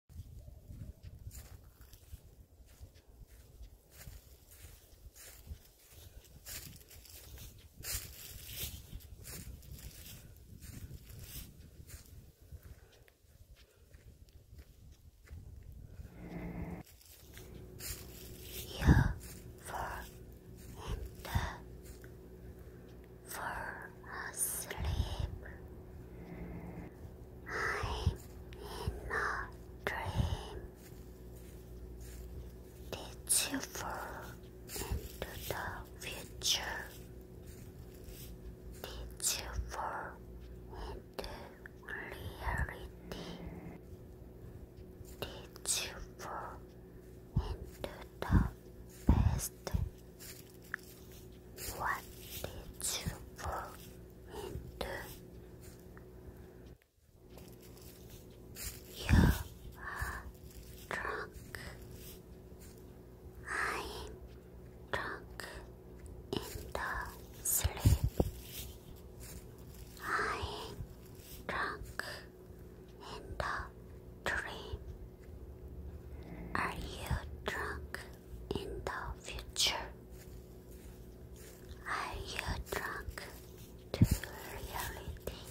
U for enter, for asleep. I'm in a dream. Did you fall into the future? Did you fall into reality? Did you fall into the past? What did you fall into? You are drunk. I am drunk in the sleep. I am drunk in the dream. Are you drunk in the future. Are you drunk to reality?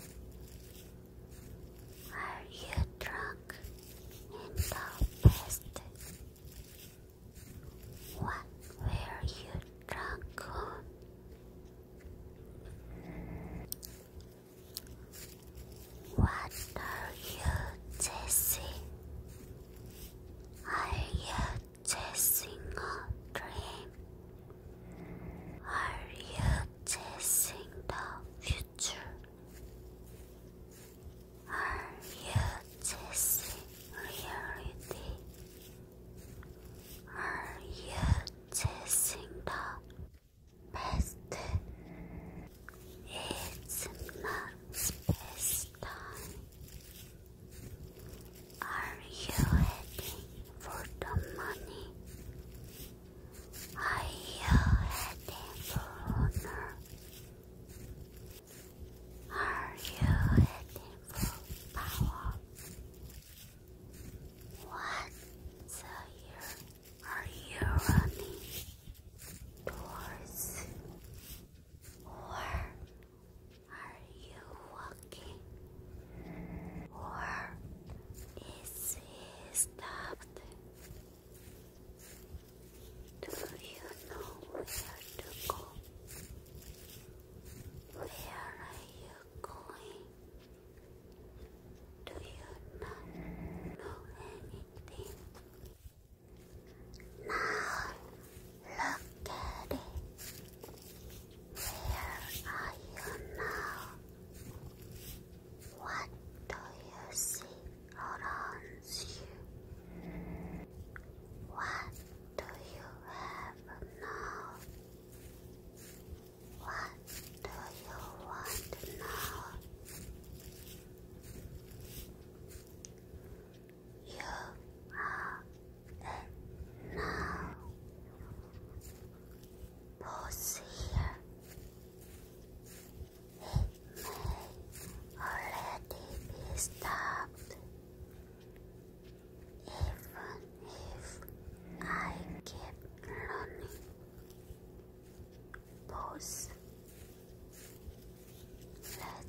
Are you drunk in the past? What were you drunk on? What are you, Jesse? Are you chasing a dream? Are you chasing the future? Are you chasing reality? Are you chasing the past? It's not space are you heading for the money? Are you heading for honor? Are you heading for power? What the year are you running towards? Or are you walking? Or is stopped? Do you know where to go? Where are you going? Do you not know anything? Now look at it. Where are you now? What do you see around you? What do you have now? What do you want now? you are now. Pause here. It may already be stopped. Even if I keep learning, pause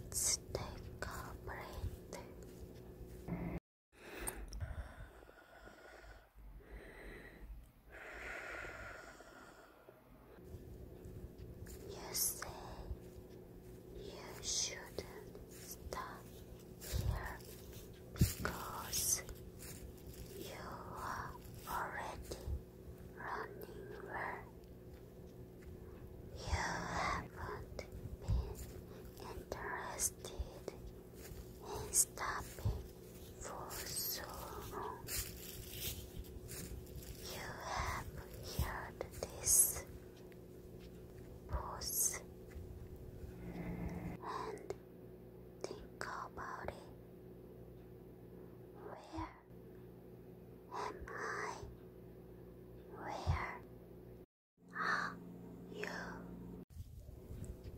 Let's take a break. You say you shouldn't stop here because you are already running where you haven't been interested in stopping for so long. You have heard this pause and think about it. Where am I? Where are you?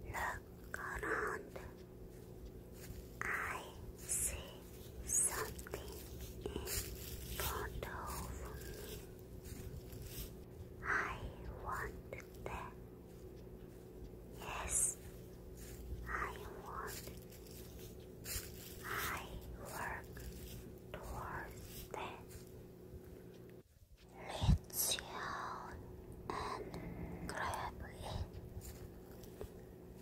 Look around. I see something in front of me. I want that. Yes, I want. I work towards them. Reach out and grab it.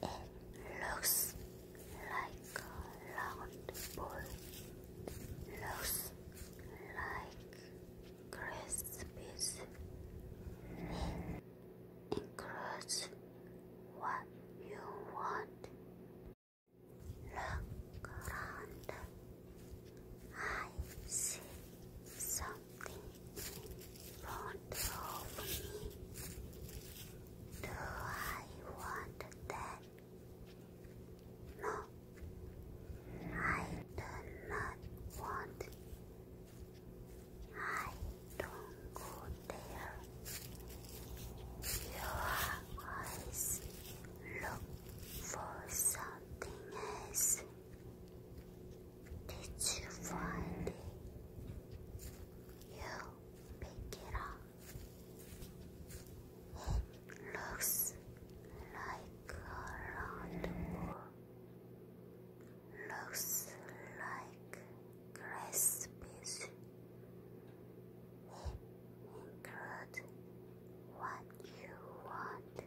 It looks like a round ball. Looks like Christmas. It what you want Look around. I see something in front me. Do I want that? No, I do not want. I don't your eyes look for something else. Did you find it? You pick it up. It looks like a round ball. Looks like grass include what you want.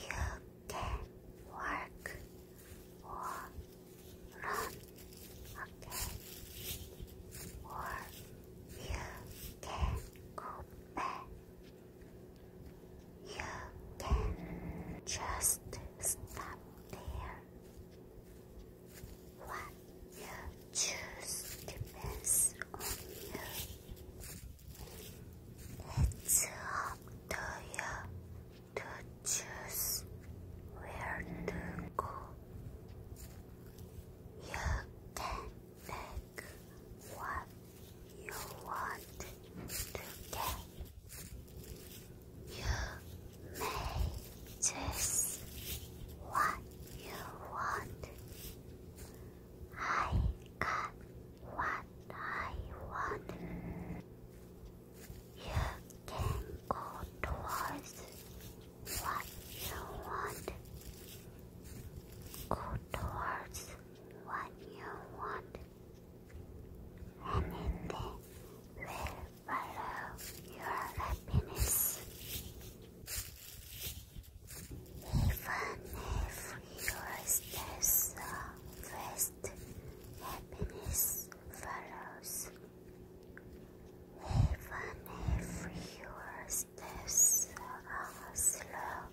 You can work or run again, or you can go back. You can just stop there what you choose depends on you. It's up to you to choose where to go. You can take what you want to get. You may choose what you want. I got what I want. You can go towards what you want. Go towards what you want. Anything will follow your happiness. Even if your steps are fast, happiness follows. Even if your steps are slow,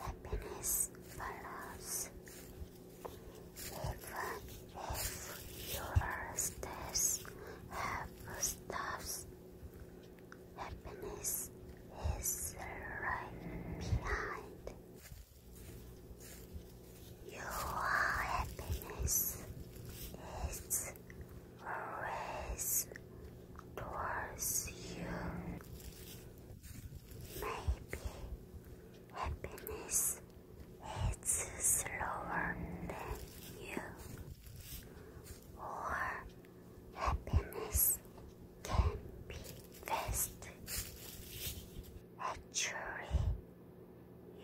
happiness follows. Even if your states have stops, happiness is right behind. Your happiness is always towards you. Maybe happiness it's slower than you, or happiness can be fast. Actually,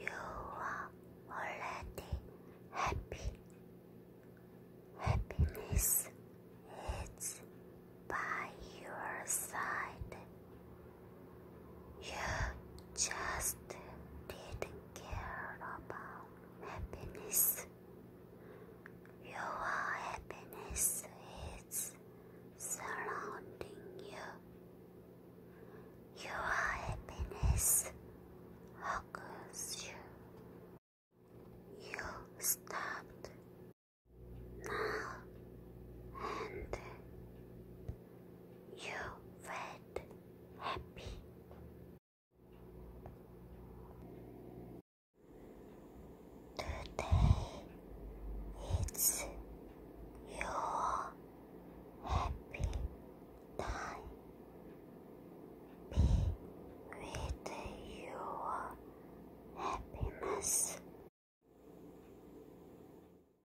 you are already happy. Happiness is by your side. You just didn't care about happiness. Your happiness is surrounding you. Your happiness hugs you. You stopped now and you felt happy. Today it's your happy time. Be with your happiness.